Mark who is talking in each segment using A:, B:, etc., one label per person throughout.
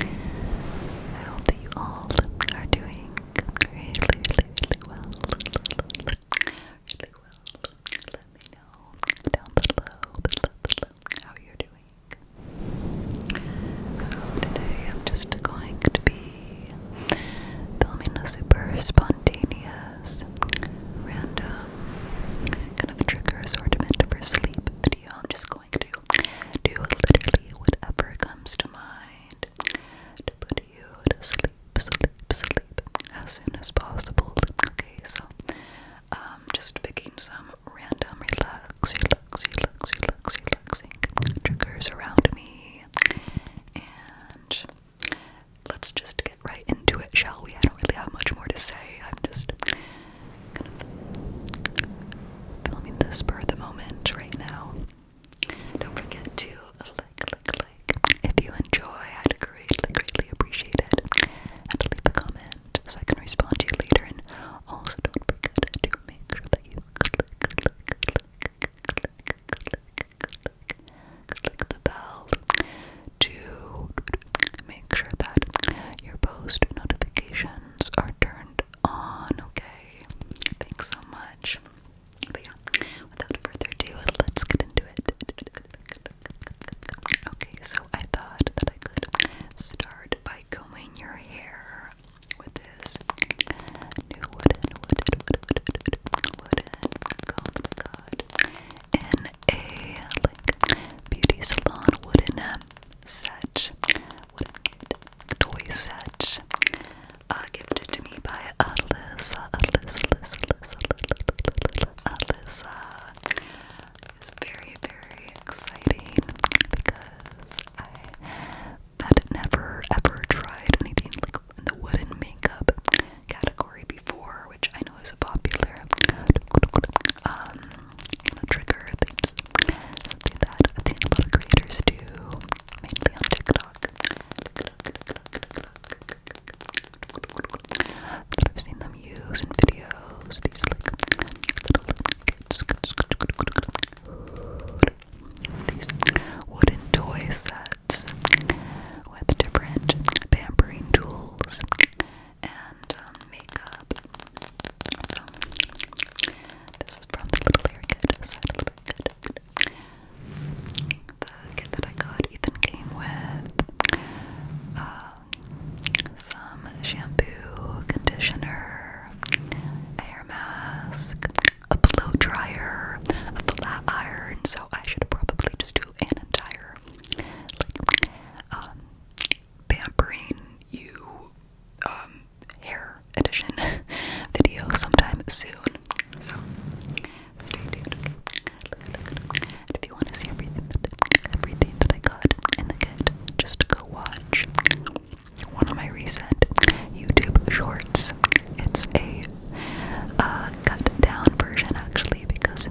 A: I hope that you all are doing really, really, really well. Really well. Let me know down below, how you're doing. So today I'm just going to be filming a super spontaneous, random kind of trigger assortment for sleep video. I'm just going do literally whatever comes to mind to put you to sleep, as soon as possible. Okay, so um, just picking some random relaxing triggers around me, and let's just get right into it, shall we? I don't really have much more to say. I'm just filming this for the moment right now. Don't forget to like, like, like if you enjoy. I'd greatly, greatly appreciate it. And leave a comment so I can respond to you later. And also, don't forget to make sure that you click, click, click, click, click, click, click the bell to make sure that your post notifications are turned on. Okay. Thanks so much. without further ado, let's get into it. Okay, so I thought that I could start by combing your hair with this new wooden, wooden, wooden, wooden, oh in a like beauty salon wooden set what a cute toy set uh, gifted to me by Alyssa. Alyssa, Alyssa, Alyssa, Alyssa. Alyssa. It's very, very exciting because I had never ever tried anything like in the wooden makeup category before, which I know is a popular um, you know, trigger things Something that I've seen a lot of creators do, mainly on TikTok. I've seen them use in videos. These wooden toy sets with different pampering tools and um, makeup. So, this is from the Little Very Good side of Little Very Good. The kit that I got even came with um, some shampoo, conditioner, hair mask, a blow dryer, a flat iron. So, I should probably just do an entire like, um, pampering you um, hair edition video sometime soon. So stay tuned. And if you want to see everything that everything that I got in the kit, just go watch one of my recent YouTube shorts. It's a uh, cut down version actually because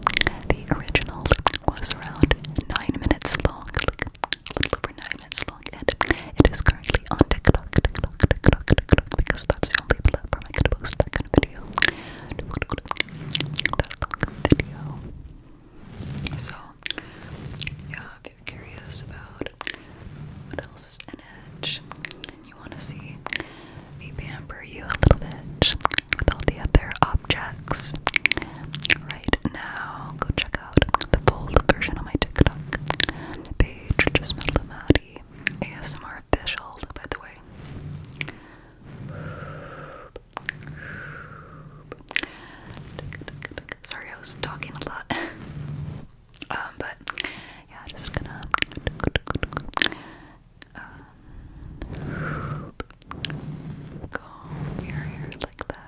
A: the original was around nine minutes long a nine minutes long, and it is currently on TikTok, TikTok, TikTok, TikTok, because that's the only platform I can post that kind of video. video. So, yeah, if you're curious about what else is in it, and you want to see me pamper you a little bit with all the other objects, right now, go check out the full version on my TikTok page, which is ASMR official, by the way. Sorry, I was talking a lot. Um, but yeah, just gonna. Um, your hair like that.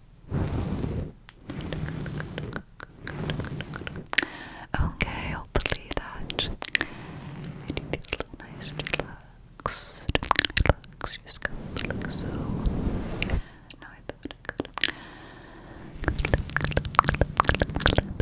A: Okay, hopefully that made you little nice and relaxed. Relax, your scalp looks so. No, I thought I could. Clip,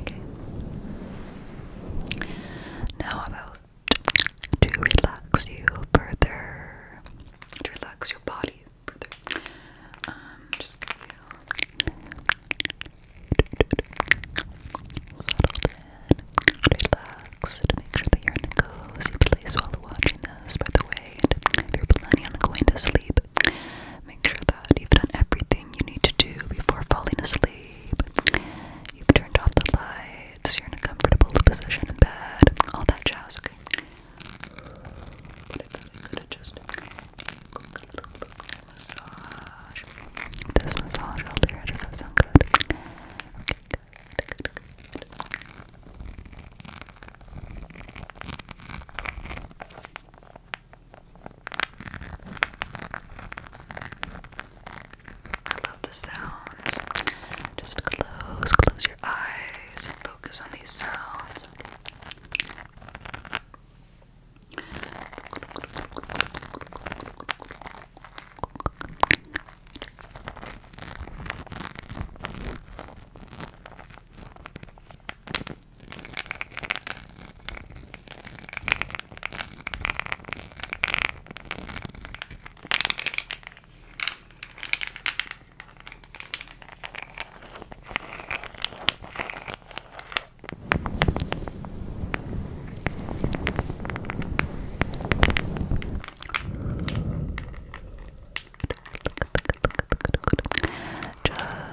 A: Okay. Now about to relax you further, relax your body further. Um, just give you a Make sure that you're in a cozy place while watching this, by the way. if you're planning on going to sleep, make sure that you've done everything you need to do before falling asleep. You've turned off the lights. You're in a comfortable position in bed. All that jazz, okay? This massage all here, does that sound good? Okay, good, good, good, Okay, I love the sounds. Just close, close your eyes and focus on these sounds.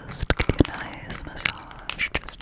A: Just give you a nice massage. Just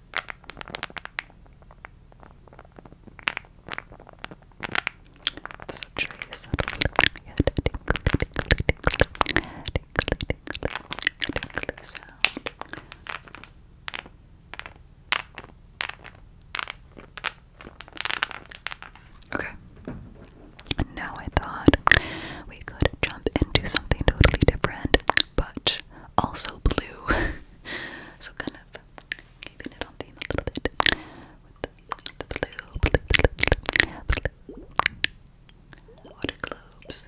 A: It's a subtle Okay. Now I thought we could jump into something totally different but also blue. so kind of keeping it on theme a with the blue. water globes.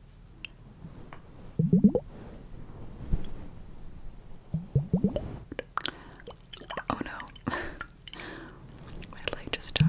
A: Oh no, my leg just died.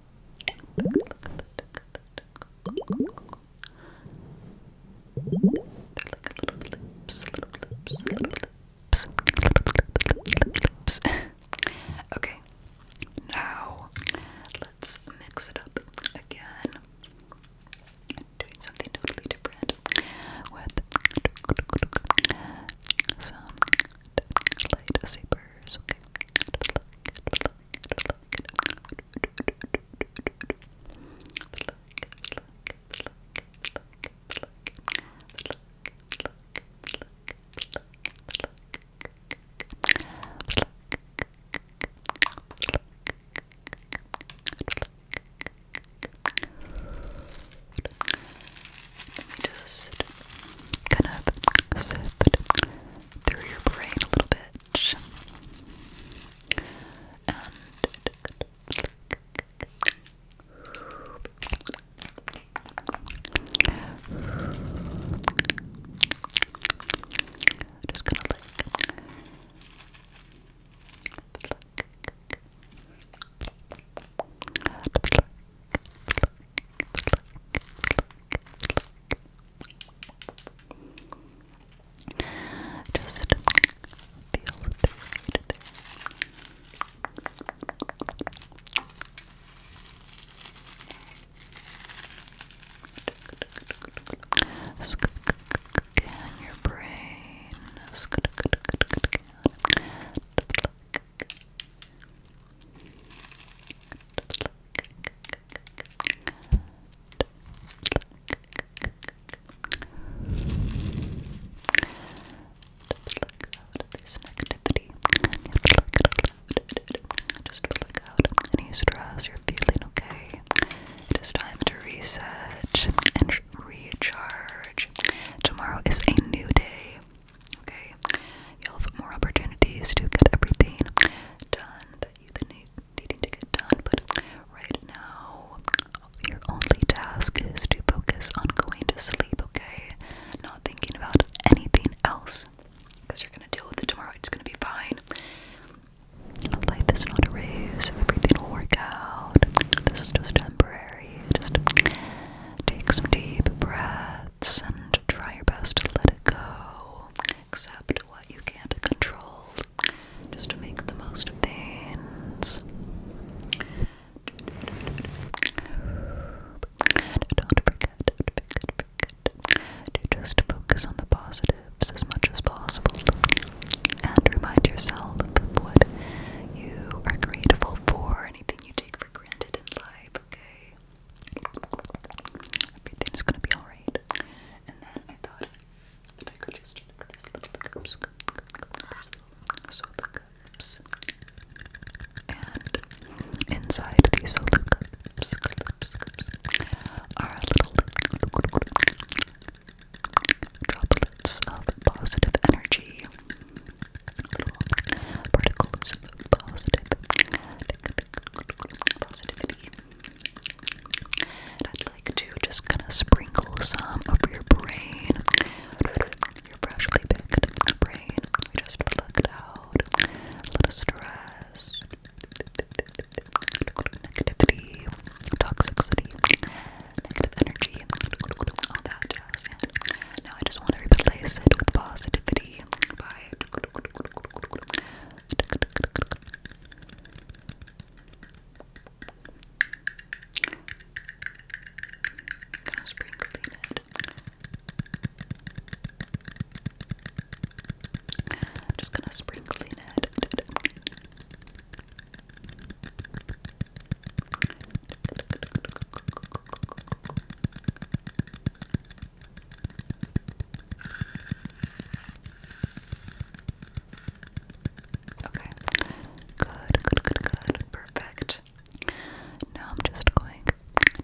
A: okay, now let's mix it up again. I'm doing something totally different with some light super colors. Let just kind of sift through your brain a little bit. just gonna lick. Just feel the right Scan your brain out of this negativity. Just look out any stress you're feeling, okay? It is time to reset and recharge. Tomorrow is a new day. Okay, you'll have more opportunities to get everything done that you've been needing to get done. But right now, your only task is to focus on going to sleep. Okay, not thinking about anything else, because you're gonna deal with it tomorrow. It's gonna be fine. Life is not a race. Everything will work out. This is just temporary. Just take some deep breaths and try your best to let it let go, accept what you can't control, just to make the most of things. Don't forget, don't forget, forget to just focus on the positives as much as possible and remind yourself of what you are grateful for, anything you take for granted in life, okay? Everything's gonna be alright. And then I thought that I could just take this little cups, soda cups, inside these soda cups are little droplets of positive energy, little particles of positive positivity. I'd like to just kind of sprinkle some over your brain, your freshly picked brain. We just plucked out a lot stress, negativity, toxicity, negative energy, all that jazz. now I just want to replace it positivity. Beauty by Gonna spring clean it. Just gonna spring clean it. Okay. Good, good, good, good. Perfect. Now I'm just going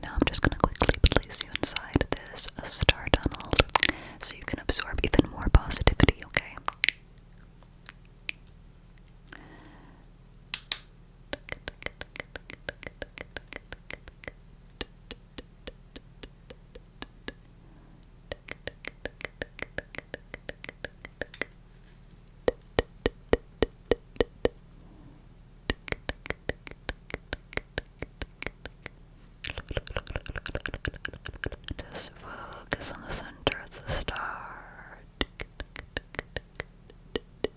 A: now I'm just gonna quickly place you inside this star tunnel so you can absorb even more positivity, okay? Just focus on the center of the star.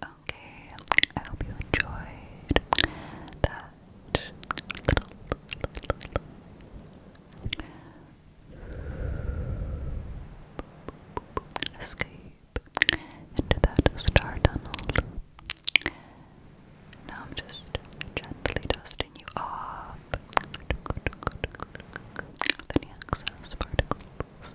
A: Okay, I hope you enjoyed that little, Escape into that star tunnel. Now I'm just gently dusting you off any excess particles.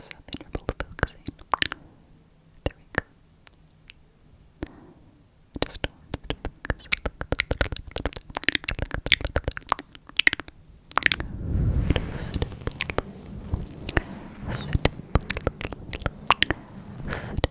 A: Subinterval focusing. There we go. I just want to focus. Just stipple. Stipple. Stipple.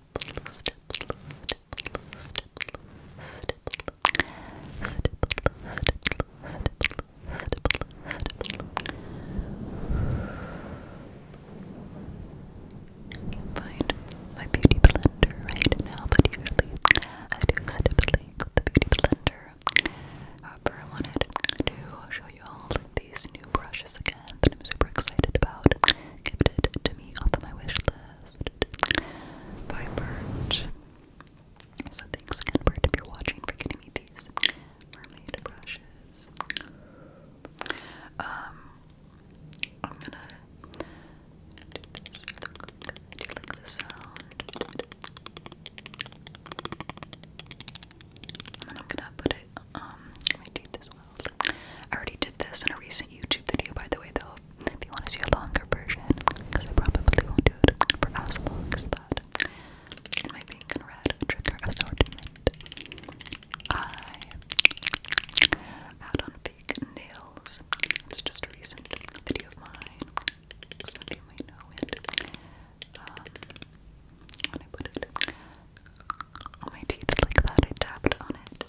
A: step, find my beauty blender right now, but usually I do separately with the beauty blender. However, uh, I wanted to show you all these new brushes again that I'm super excited about. Gifted to me off of my wish list by So thanks again, Birch, if watching, for getting me these mermaid brushes. Um, I'm gonna do this. I do like the sound. I'm gonna put it um my teeth this I already did this in a recent YouTube video, by the way, though. If you want to see a longer version, because I probably won't do it for as long as that. In my pink and red trigger assortment, I had on fake nails. It's just a recent video of mine. Some of you might know it. Um, when I put it Oh, my teeth like that. I tapped on it.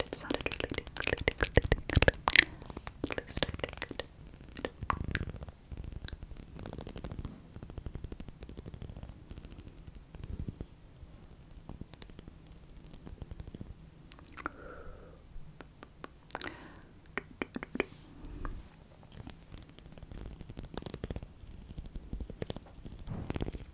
A: It sounded really tingly, tingly, tingly. At least I think it did.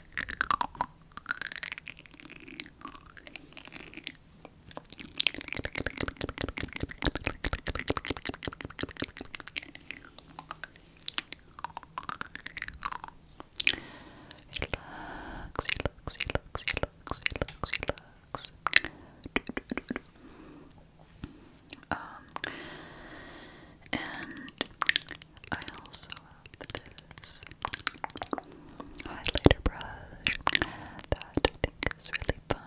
A: relax, relax, relax. Um, and I also have this highlighter brush that really fun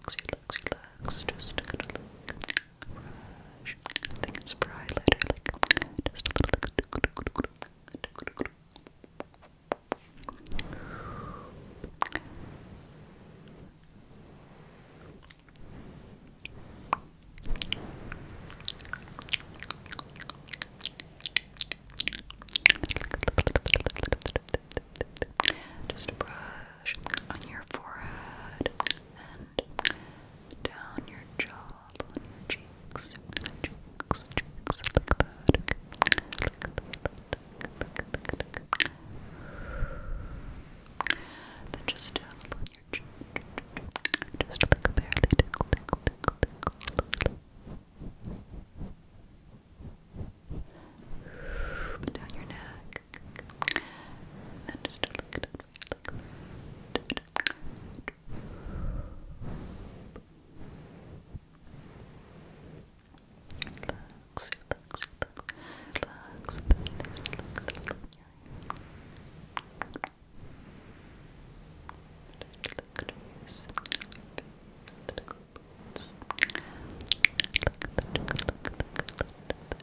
A: relax, relax. Just a good look. I think it's for just a little just brush on your forehead and down your jaw, on your cheeks, cheeks, cheeks, like that. Look at that. Then just down your cheek, just like barely tickle, tickle, tickle, tickle. Down your neck, and then just look at it. Look. Relax, relax, relax, relax, relax, relax, relax. Look at your face, look at your boots. Look at that, look at that, look at that,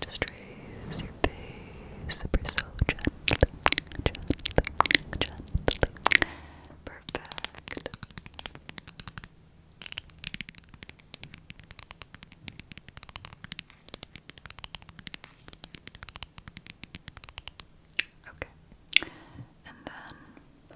A: Just raise your face super slow, gently, gently, gently. Perfect. Okay. And then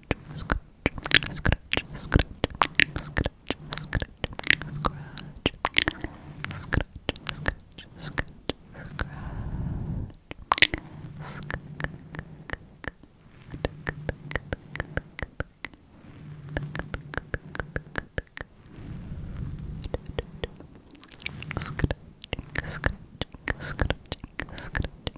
A: scratch, scratch, scratch, scratch, scratch, scratch, scratch, scratch, scratch, scratch, Scratching, scratching, scratching, scratching,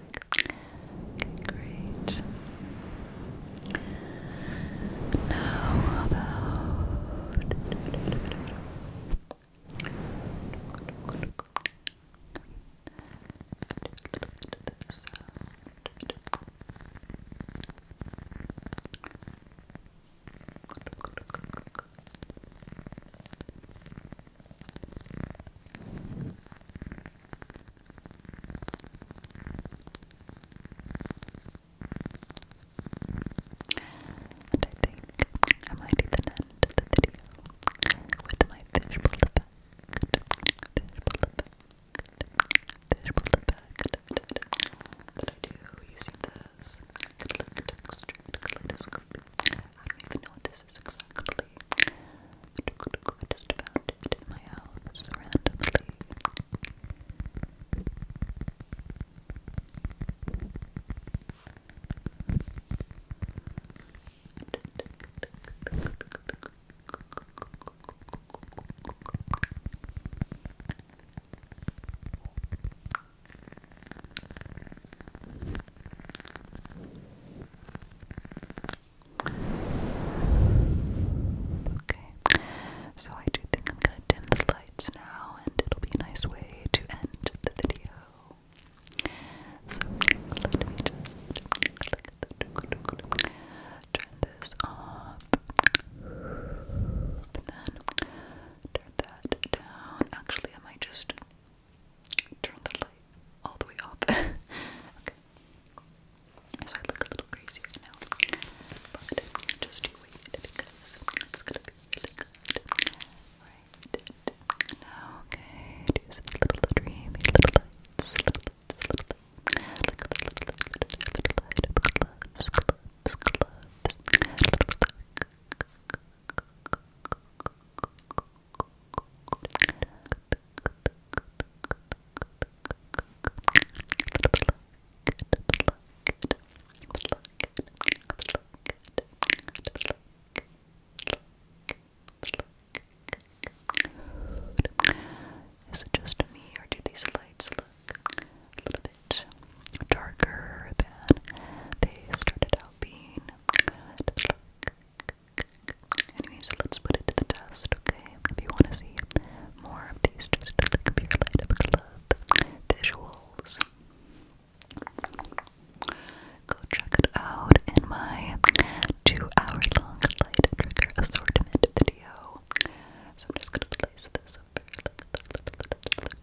A: Okay, great. Now about and I think I might even end the video with my visual effect. Visual effect. Visual effect that I do using this I don't even know what this is exactly randomly. I just found it in my house randomly. Okay, so I do think I'm gonna dim the lights now, and it'll be a nice way to end the video. So let me just turn this off, and then turn that down. Actually, I might just turn the light all the way off. So I look a little crazy right now. But just wait because it's gonna be good. Right. Now, okay, do a little, little, of gloves, is it just me, or do these lights look a little bit darker than they started out being? Anyways, let's put it to the test, okay? If you want to see more of these, just click up your light visuals. Go check it out in my two-hour-long light trigger assortment video. So I'm just gonna place this over.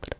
A: Good.